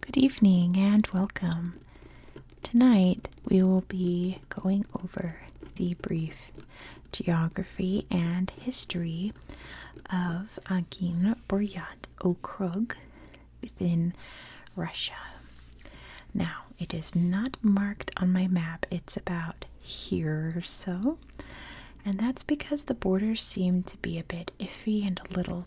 Good evening and welcome. Tonight we will be going over the brief geography and history of Agin Boriat Okrug within Russia. Now, it is not marked on my map, it's about here or so, and that's because the borders seem to be a bit iffy and a little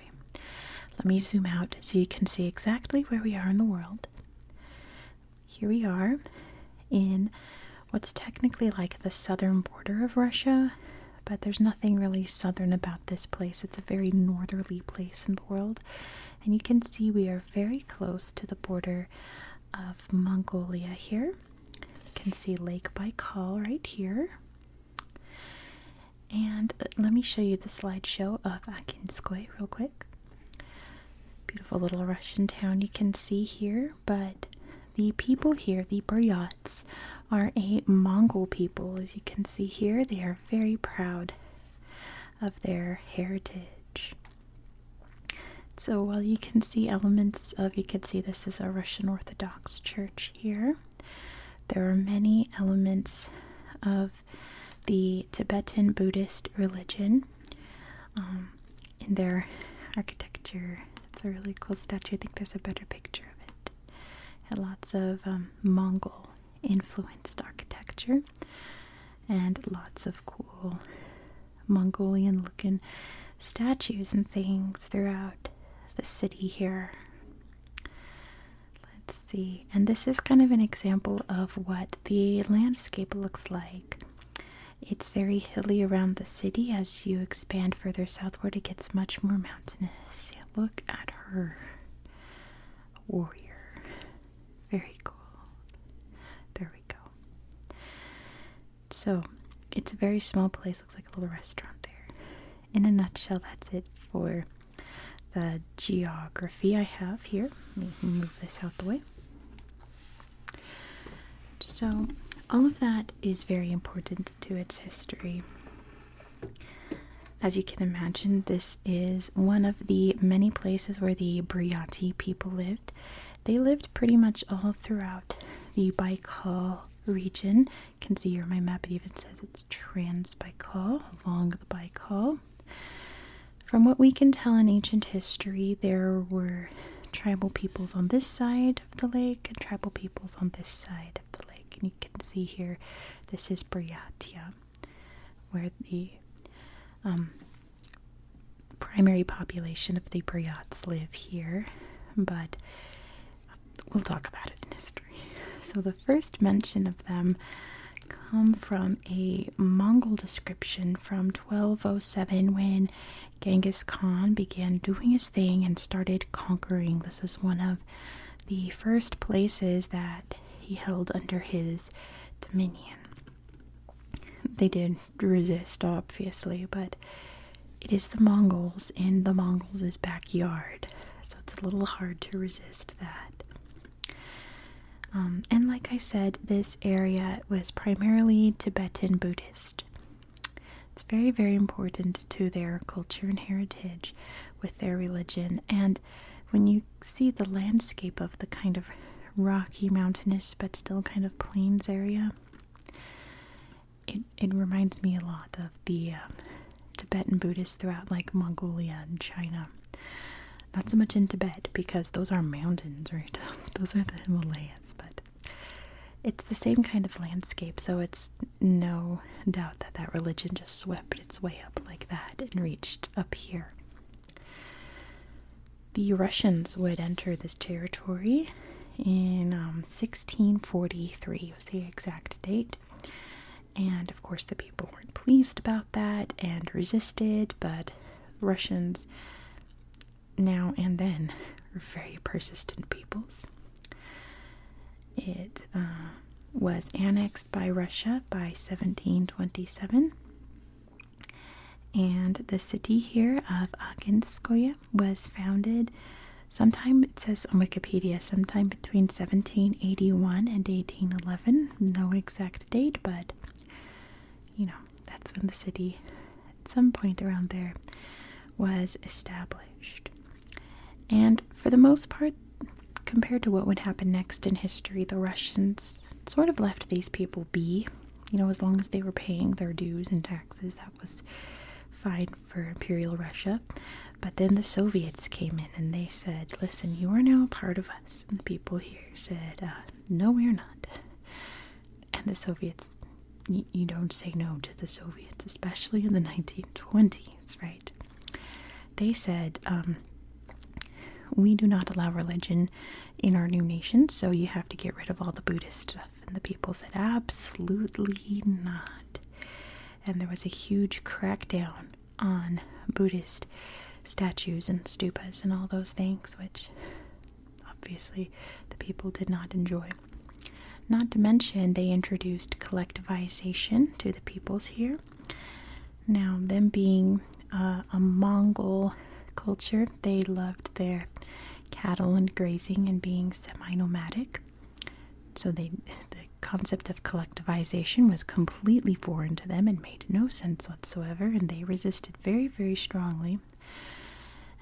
Let me zoom out so you can see exactly where we are in the world. Here we are in what's technically like the southern border of Russia, but there's nothing really southern about this place. It's a very northerly place in the world, and you can see we are very close to the border of Mongolia here. You can see Lake Baikal right here. And uh, let me show you the slideshow of Akinskoye real quick. Beautiful little Russian town you can see here, but the people here, the Buryats, are a Mongol people. As you can see here, they are very proud of their heritage. So while you can see elements of, you can see this is a Russian Orthodox church here. There are many elements of the Tibetan Buddhist religion um, in their architecture. It's a really cool statue. I think there's a better picture of it. Had lots of um, Mongol influenced architecture and lots of cool Mongolian looking statues and things throughout the city here. Let's see. And this is kind of an example of what the landscape looks like. It's very hilly around the city. As you expand further southward, it gets much more mountainous. look at her. warrior. Very cool. There we go. So, it's a very small place. Looks like a little restaurant there in a nutshell, that's it for the geography I have here. Let me move this out the way. So, all of that is very important to its history. As you can imagine, this is one of the many places where the Briati people lived. They lived pretty much all throughout the Baikal region can see here on my map it even says it's trans Baikal along the Baikal. From what we can tell in ancient history, there were tribal peoples on this side of the lake and tribal peoples on this side of the lake. And you can see here this is Buryatia, where the um, primary population of the Bryats live here. But we'll talk about it in history. So the first mention of them come from a Mongol description from 1207 when Genghis Khan began doing his thing and started conquering. This was one of the first places that he held under his dominion. They did resist, obviously, but it is the Mongols in the Mongols' backyard so it's a little hard to resist that. Um, and like I said, this area was primarily Tibetan Buddhist. It's very, very important to their culture and heritage with their religion. And when you see the landscape of the kind of rocky, mountainous, but still kind of plains area, it, it reminds me a lot of the um, Tibetan Buddhists throughout like Mongolia and China. Not so much in Tibet because those are mountains, right? those are the Himalayas, but it's the same kind of landscape, so it's no doubt that that religion just swept its way up like that and reached up here. The Russians would enter this territory in 1643 um, was the exact date and of course the people weren't pleased about that and resisted but russians now and then are very persistent peoples it uh, was annexed by russia by 1727 and the city here of akinskoye was founded Sometime it says on Wikipedia, sometime between 1781 and 1811. No exact date, but you know, that's when the city, at some point around there, was established. And for the most part, compared to what would happen next in history, the Russians sort of left these people be. You know, as long as they were paying their dues and taxes, that was fine for Imperial Russia. But then the Soviets came in and they said, Listen, you are now part of us. And the people here said, uh, No, we're not. And the Soviets, you don't say no to the Soviets, especially in the 1920s, right? They said, um, We do not allow religion in our new nation, so you have to get rid of all the Buddhist stuff. And the people said, Absolutely not and there was a huge crackdown on Buddhist statues and stupas and all those things, which obviously the people did not enjoy. Not to mention, they introduced collectivization to the peoples here. Now, them being uh, a Mongol culture, they loved their cattle and grazing and being semi nomadic. So the concept of collectivization was completely foreign to them and made no sense whatsoever, and they resisted very, very strongly.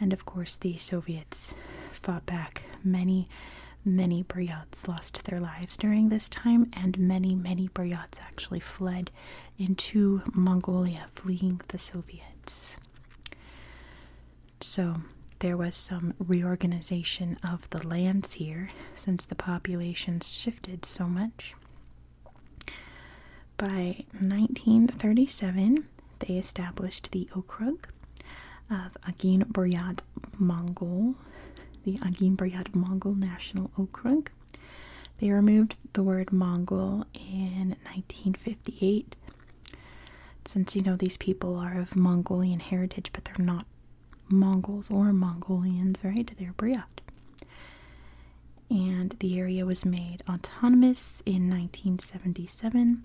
And of course, the Soviets fought back. Many, many Buryats lost their lives during this time, and many, many Buryats actually fled into Mongolia, fleeing the Soviets. So there was some reorganization of the lands here since the population shifted so much. By 1937, they established the Okrug of Agin Buryat Mongol, the Agin Buryat Mongol National Okrug. They removed the word Mongol in 1958. Since you know these people are of Mongolian heritage, but they're not Mongols or Mongolians, right? They're Buryat. And the area was made autonomous in 1977.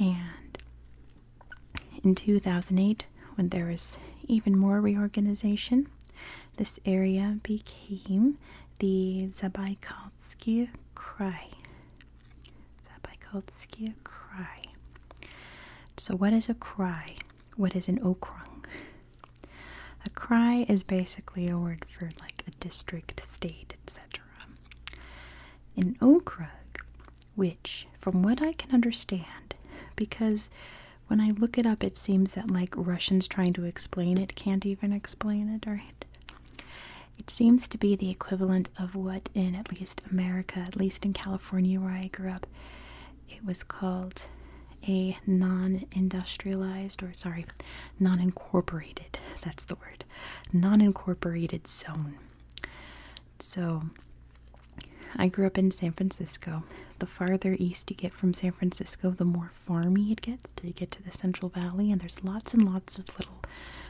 And in 2008, when there was even more reorganization, this area became the Zabaykalsky Krai, that Sabbai called Skia cry. So what is a cry? What is an okrug? A cry is basically a word for like a district, state, etc. An okrug, which from what I can understand, because when I look it up, it seems that like Russians trying to explain it can't even explain it, right? It seems to be the equivalent of what in at least America, at least in California where I grew up, it was called a non-industrialized or sorry, non-incorporated, that's the word, non-incorporated zone. So I grew up in San Francisco. The farther east you get from San Francisco, the more farmy it gets till you get to the Central Valley, and there's lots and lots of little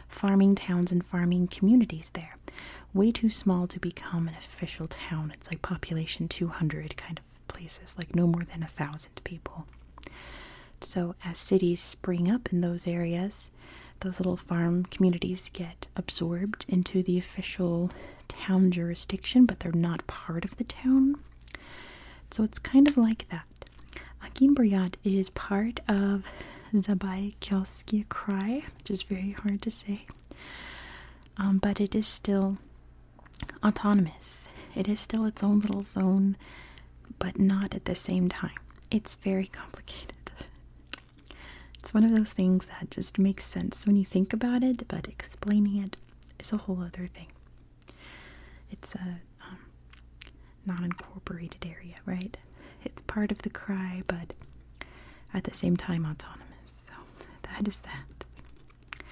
farming towns and farming communities there. Way too small to become an official town. It's like population 200 kind of places, like no more than a thousand people. So, as cities spring up in those areas, those little farm communities get absorbed into the official town jurisdiction, but they're not part of the town. So, it's kind of like that. Akinbriyat is part of Zabaikelsky Krai, which is very hard to say, um, but it is still autonomous. It is still its own little zone, but not at the same time. It's very complicated. It's one of those things that just makes sense when you think about it, but explaining it is a whole other thing. It's a um, non incorporated area, right? It's part of the cry, but at the same time autonomous. So that is that.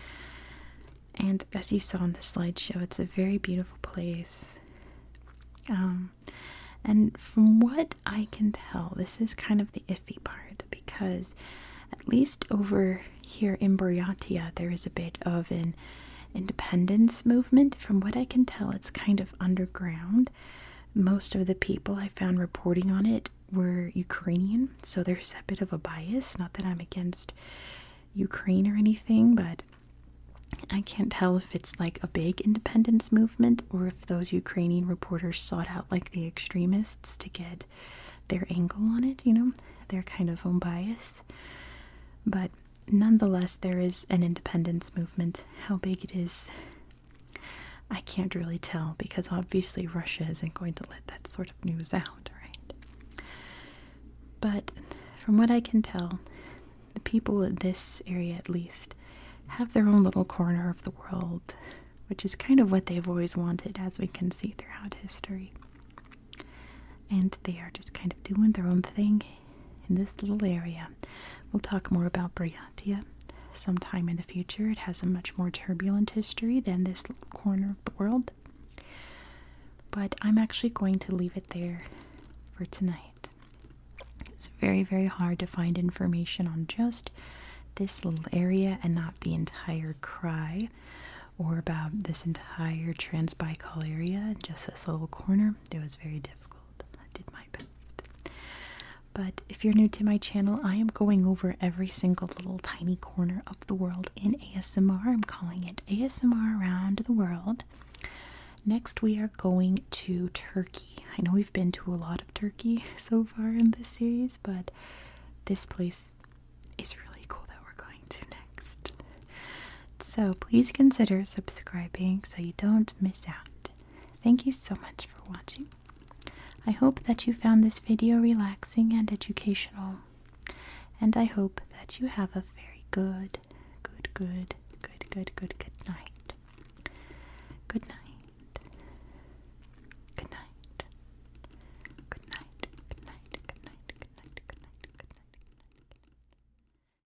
And as you saw in the slideshow, it's a very beautiful place. Um, and from what I can tell, this is kind of the iffy part because, at least over here in Buryatia, there is a bit of an independence movement. From what I can tell, it's kind of underground most of the people I found reporting on it were Ukrainian, so there's a bit of a bias. Not that I'm against Ukraine or anything, but I can't tell if it's like a big independence movement or if those Ukrainian reporters sought out like the extremists to get their angle on it, you know, they're kind of own bias. But nonetheless, there is an independence movement. How big it is, I can't really tell because obviously Russia isn't going to let that sort of news out, right? But from what I can tell, the people in this area at least have their own little corner of the world, which is kind of what they've always wanted, as we can see throughout history. And they are just kind of doing their own thing in this little area. We'll talk more about Briantia sometime in the future. It has a much more turbulent history than this corner of the world. But I'm actually going to leave it there for tonight. It's very, very hard to find information on just this little area and not the entire cry or about this entire Transbaikal area, and just this little corner. It was very difficult. I did my but if you're new to my channel, I am going over every single little tiny corner of the world in ASMR. I'm calling it ASMR Around the World. Next, we are going to Turkey. I know we've been to a lot of Turkey so far in this series, but this place is really cool that we're going to next. So please consider subscribing so you don't miss out. Thank you so much for watching. I hope that you found this video relaxing and educational. And I hope that you have a very good, good, good, good, good, good, good night. Good night. Good night. Good night. Good night. Good night. Good night. Good night. Good night.